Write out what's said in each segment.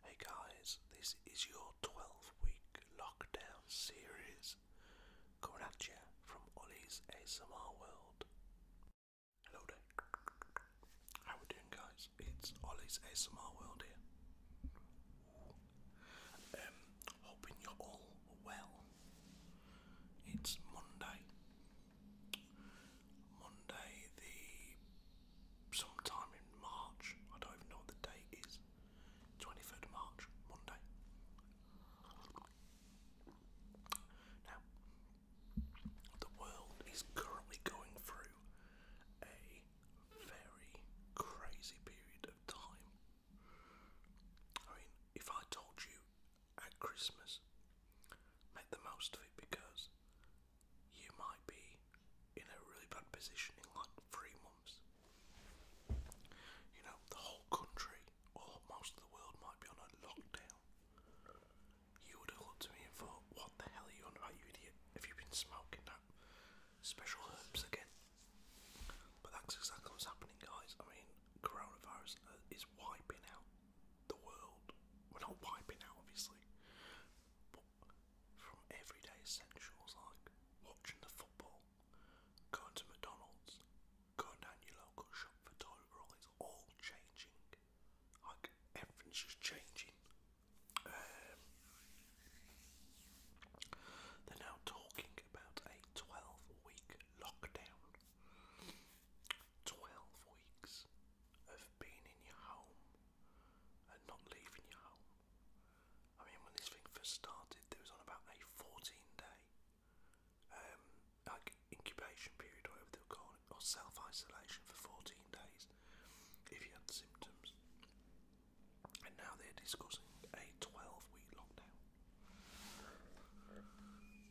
Hey guys, this is your 12 week lockdown series coming at you from Ollie's ASMR World. Hello there. How we doing guys? It's Ollie's ASMR World here. Um, hoping you're all well. It's Monday. Monday, the sometime in March. I don't even know what the date is. Twenty third March, Monday. Now, the world is currently going through a very crazy period of time. I mean, if I told you at Christmas, make the most of it because you might be in a really bad position in like three months. You know, the whole country or most of the world might be on a lockdown. You would have looked at me and thought, what the hell are you on about, idiot? Have you been smoking that special herbs again? But that's exactly what's happening, guys. I mean, coronavirus uh, is wiping out the world. We're not wiping out, obviously, from everyday essentials like watching the football, going to McDonald's, going down your local shop for toilet roll, it's all changing. Like everything's just changing. Um, they're now talking about a 12 week lockdown. 12 weeks of being in your home and not leaving your home. I mean, when this thing first started, there was on about a 14 day um, like incubation period, whatever they were calling it, or self isolation for 14 days if you had symptoms. And now they're discussing a 12 week lockdown.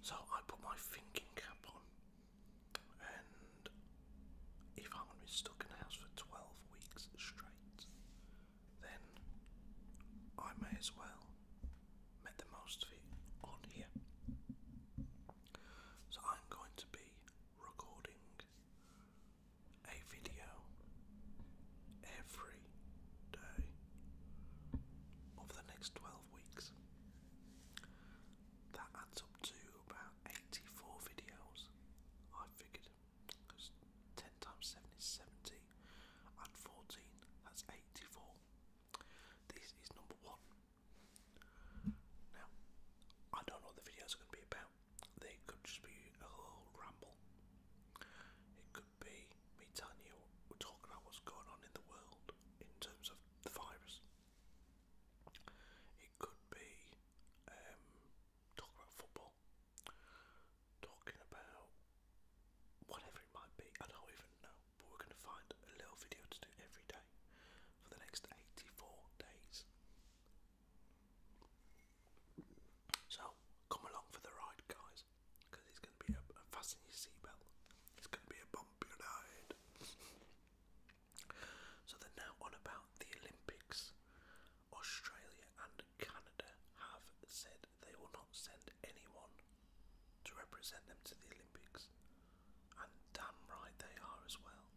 So I put my thinking cap on and if I'm going to be stuck in a house for 12 weeks straight, then I may as well make the most of it on here. So I'm going to be recording a video every day over the next 12 weeks. That adds up to about 84 videos, I figured, because 10 times 7 is 70, and 14, that's 84. This is number one. Now, I don't know what the videos are going to be about. They could just be a whole ramble. It could be me telling you, we're talking about what's going on in the world in terms of the virus. It could be um, talking about football, talking about whatever it might be. I don't even know, but we're going to find a little video to do every day for the next 84 days. So come along for the ride, guys, because it's going to be a fasten your seatbelt. It's going to be a bumpy ride. So they're now on about the Olympics. Australia and Canada have said they will not send anyone to represent them to the Olympics. And damn right they are as well.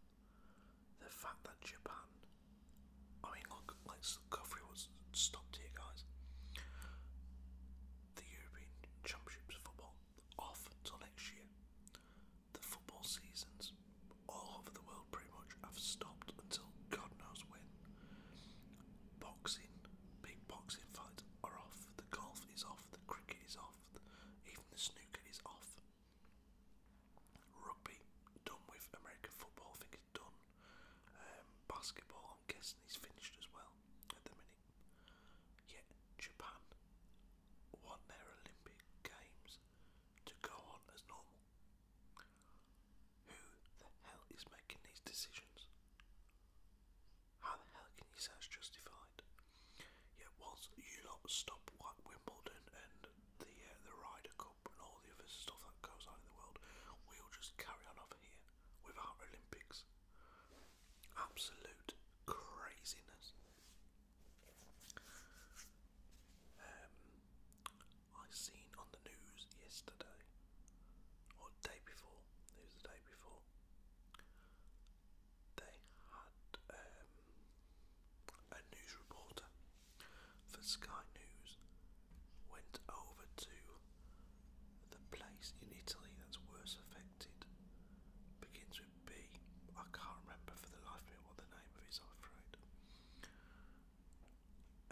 The fact that Japan, I mean, look, let like Godfrey was stopped here, guys. The European Championships football off till next year. The football seasons all over the world pretty much have stopped until God knows when. Boxing, big boxing fights are off, the golf is off, the cricket is off, even the snooker is off. Rugby, done with American football, I think it's done. Um, basketball, I'm guessing, he's finished as well at the minute. Yet Japan won their Olympic Games to go on as normal. Who the hell is making these decisions? How the hell can you say it's justified? Yet once you lot stop Wimbledon and the uh, the Ryder Cup and all the other stuff that goes on in the world, we'll just carry on over here without Olympics. Absolute craziness. Um, I seen on the news yesterday, or day before, it the day before, they had um, a news reporter for Sky News went over to the place in Italy that's worst affected, begins with it be? I can't remember for the life of me what the name of it is,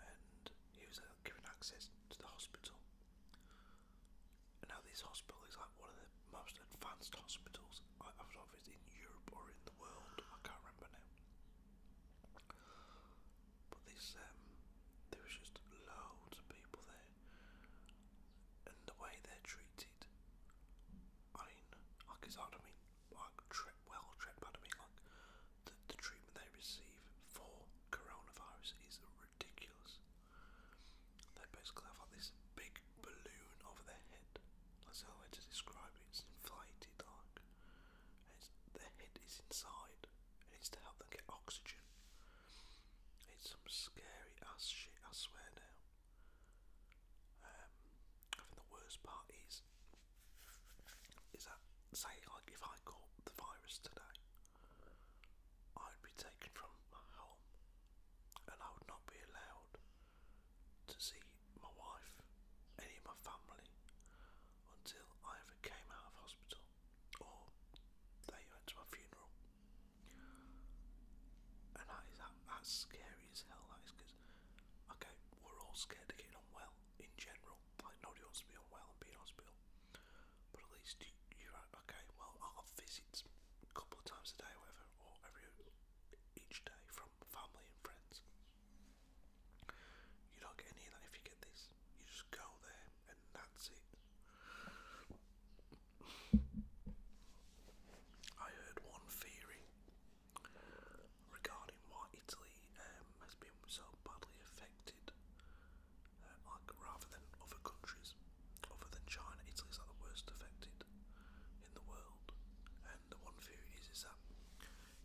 And he was uh, given access to the hospital. now this hospital is like one of the most advanced hospitals. I, I don't in Europe or in the world. I can't remember now. But this, um, there was just loads of people there, and the way they're treated I mean, like it's hard, I mean, like well or tread I mean, like the, the treatment they receive for coronavirus is ridiculous. They basically have like this big balloon over their head. That's how to describe it. It's inflated, like, it's, their head is inside, it's to help them get oxygen. It's some scary ass shit, I swear now. Um, I think the worst part is, is that say like if I caught the virus today, I'd be taken from my home, and I would not be allowed to see my wife, any of my family, until I ever came out of hospital, or they went to my funeral. And that is that, that's scary as hell. That is because, okay, we're all scared of getting unwell in general. Like nobody wants to be unwell and be in hospital. But at least you, you're okay. Well, I'll have visits a couple of times a day, or whatever, or every each day from family and friends. You don't get any of that if you get this. You just go there, and that's it. I heard one theory regarding why Italy um, has been so badly affected, uh, like rather than other countries, other than China, Italy's like the worst affected in the world. And the one theory is, is that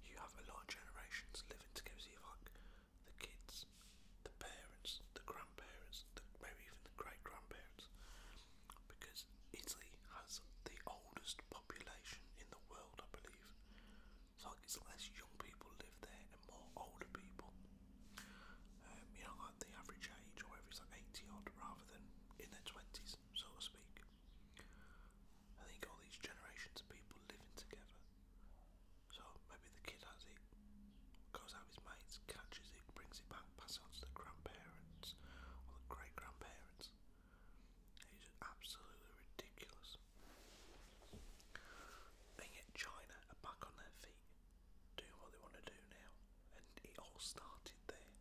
you have a lot of generations living together. So you have like the kids, the parents, the grandparents grandparents, the, maybe even the great grandparents, because Italy has the oldest population in the world, I believe. It's like it's less young people live there and more older people. Um, you know, like the average age or whatever is like 80 odd rather than in their 20s, so to speak. I think all these generations of people living together. So maybe the kid has it, goes out with his mates, catches it, brings it back, pass it on to the grandparents or the great grandparents. It's absolutely ridiculous. And yet, China are back on their feet, doing what they want to do now, and it all started there.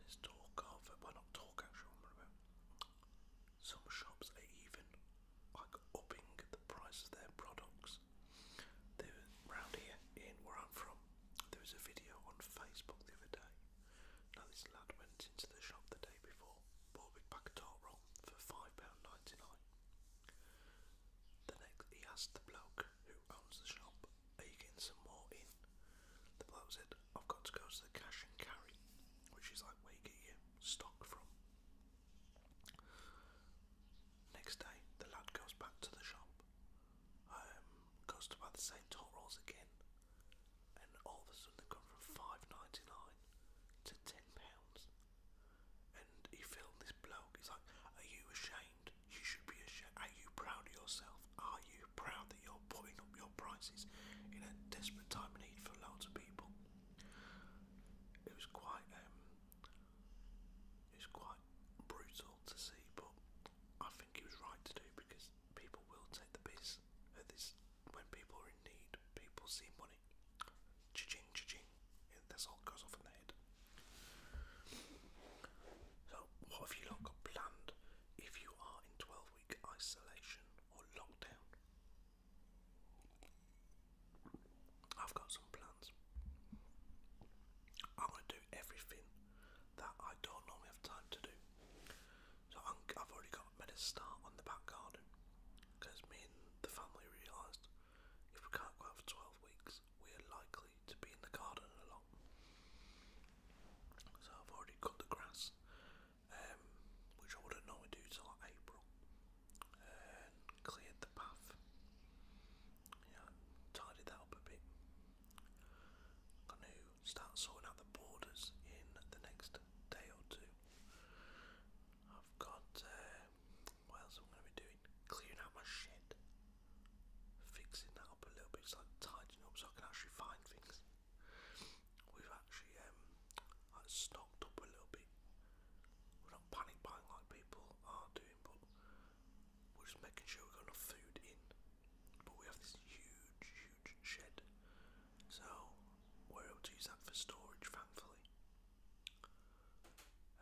There's talk of, uh, well, not talk actually, I remember. Some shops are even like upping the price of their products because here in where I'm from, there was a video on Facebook the other day. Now this lad went into the shop the day before, bought a big of roll for £5.99. The next, he asked the bloke who owns the shop, are you getting some more in? The bloke said, I've got to go to the cash and carry, which is like where you get your stock from. Next day, the lad goes back to the shop, um, goes to buy the same tot rolls again, and all of a sudden they come from five ninety nine to ten pounds. And he filmed this bloke. He's like, "Are you ashamed? You should be ashamed. Are you proud of yourself? Are you proud that you're putting up your prices in a desperate time need for loads of people?" It was quite um, it's quite brutal to see, but I think he was right to do because people will take the piss at this. When people are in need, people see money. Cha-ching, cha-ching. this all goes off in the head. So, what have you got planned if you are in 12 week isolation or lockdown? I've got some plans. I'm going to do everything that I don't normally have time to do. So i have already got made a start on the back garden because me and the family realised if we can't go for 12 weeks, we're likely to be in the garden a lot. So I've already cut the grass, um, which I wouldn't normally do till April cleared the path. Yeah, tidied that up a bit. I'm going sorting out the borders in the next day or two. I've got, uh, what else am I going to be doing? Clearing out my shed. Fixing that up a little bit, so like tidying up so I can actually find things. We've actually um, stocked up a little bit. We're not panic buying like people are doing but we're just making sure we've got enough food in. But we have this huge, huge shed, so we're able to use that for storage, thankfully.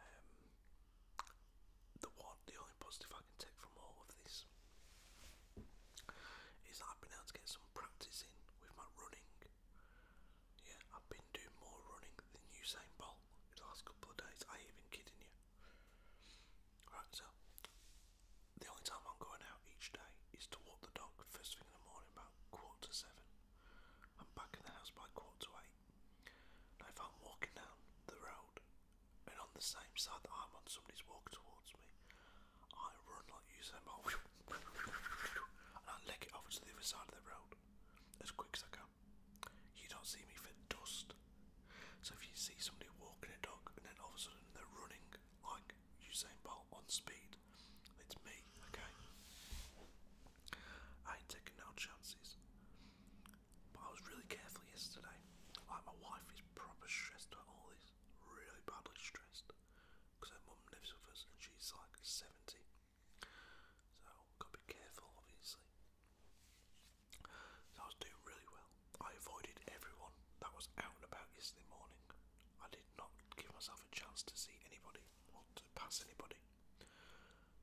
Um, the one, the only positive I can take from all of this is that I've been able to get some practice in with my running. Yeah, I've been doing more running than Usain Bolt in the last couple of days. I ain't even kidding you. Right, so the only time I'm going out each day is to walk the dog first thing in the morning about quarter to seven. back in the house by quarter to eight. Now if I'm walking down the road and on the same side that I'm on somebody's walking towards me, I run like Usain Bolt and I leg it over to the other side of the road as quick as I can. You don't see me for dust. So if you see somebody walking a dog and then all of a sudden they're running like Usain Bolt on speed, it's me, okay? I ain't taking no chances. But I was really careful yesterday. my wife is proper stressed about all this, really badly stressed, because her mum lives with us and she's like 70. So, gotta be careful, obviously. So I was doing really well. I avoided everyone that was out and about yesterday morning. I did not give myself a chance to see anybody or to pass anybody.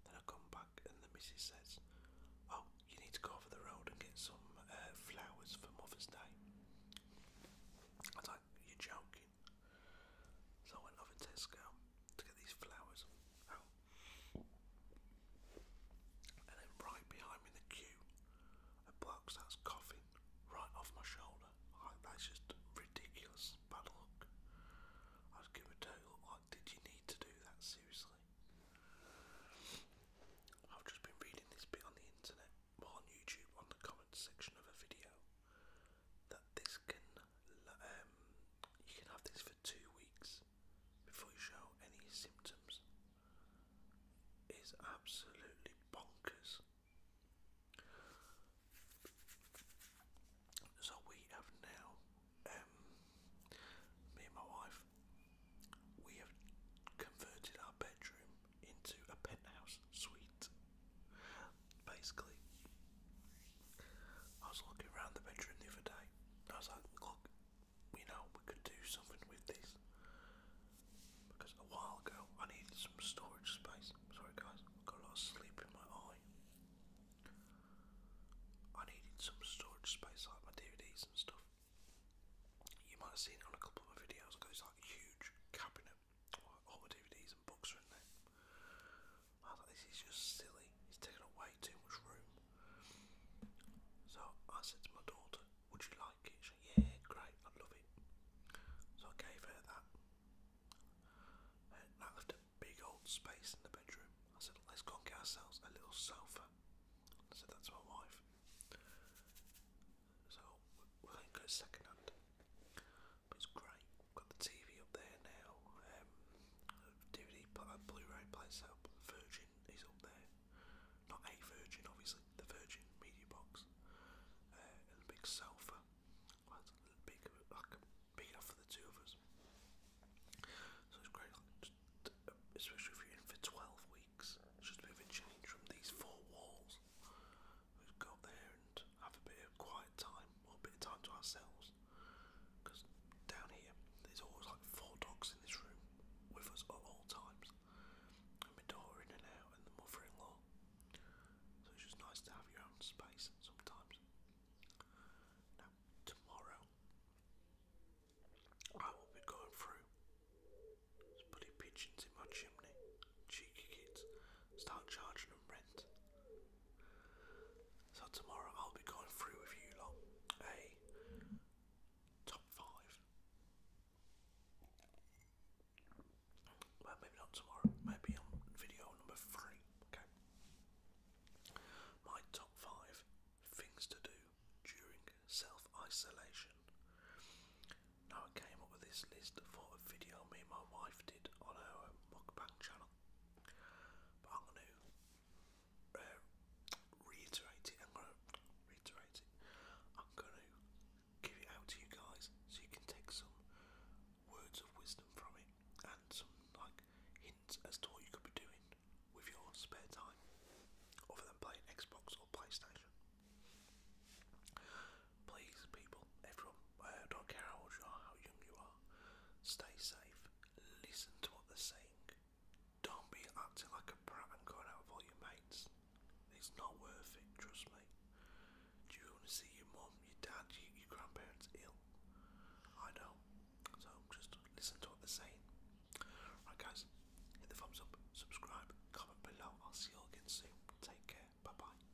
Then I come back and the missus says, "Oh, you need to go over the road and get some uh, flowers for Mother's Day." I was like, "You're joking." So I went over Tesco Look at these flowers. And then right behind me in the queue, a box that's coughing right off my shoulder. that's just ridiculous bad luck. I'd give a total, like, did you need to do that seriously? I've just been reading this bit on the internet, on YouTube, on the comments section of a video that this can um, you can have this for two weeks before you show any symptoms is absolutely bonkers. So we have now, um, me and my wife, we have converted our bedroom into a penthouse suite basically. I was looking around the bedroom the other day, I was like, look, you know, we could do something with this. Because a while ago, I needed some storage space. Sorry guys, I've got a lot of sleep in my eye. I needed some storage space like my DVDs and stuff. You might have seen on a couple of my videos, because it's like huge cabinet, all my DVDs books are in there. I thought this is just silly. It's taking up way too much room. So I said to my daughter, "Would you like it?" She said, "Yeah, great, I love it." So I gave her that. And that left a big old space in the bedroom. I said, "Let's go get ourselves a little sofa." I said that my wife. So we're going to go second but it's great. I've got the TV up there now. Um, DVD, uh, Blu-ray player up. Virgin is up there. Not a Virgin, obviously. The Virgin Media Box. Uh, and a big sofa. Well, it's big, like, big enough for the two of us. So it's great, like, just, especially if you're in for 12 weeks. It's just a bit of a change from these four walls. We've got there and have a bit of quiet time or a bit of time to ourselves. Because down here, there's always like four dogs in this room with us at all times. And my daughter in and out, and the mother in law. So it's just nice to have your own space sometimes. Now, tomorrow, I will be going through. bloody pigeons in my chimney. Cheeky kids start charging them rent. So tomorrow I'll be going through with you lot a top five. Well, maybe not tomorrow. Maybe on video number three. Okay. My top five things to do during self-isolation. Now I came up with this list for a video me and my wife did on our mukbang channel. But I'm going to uh, reiterate it. I'm going to reiterate it. I'm going to give it out to you guys so you can take some words of wisdom from it and some like hints as to what you could be doing with your spare time other than playing Xbox or PlayStation. Please, people, everyone I don't care how old you are, how young you are. Stay safe. Listen to what they're saying. Don't be acting like a brat and going out with all your mates. It's not worth it, trust me. Do you want to see your mum, your dad, your, grandparents ill? I don't. So just listen to what they're saying. Right, guys, hit the thumbs up, subscribe, comment below. I'll see you all again soon. Take care. Bye bye.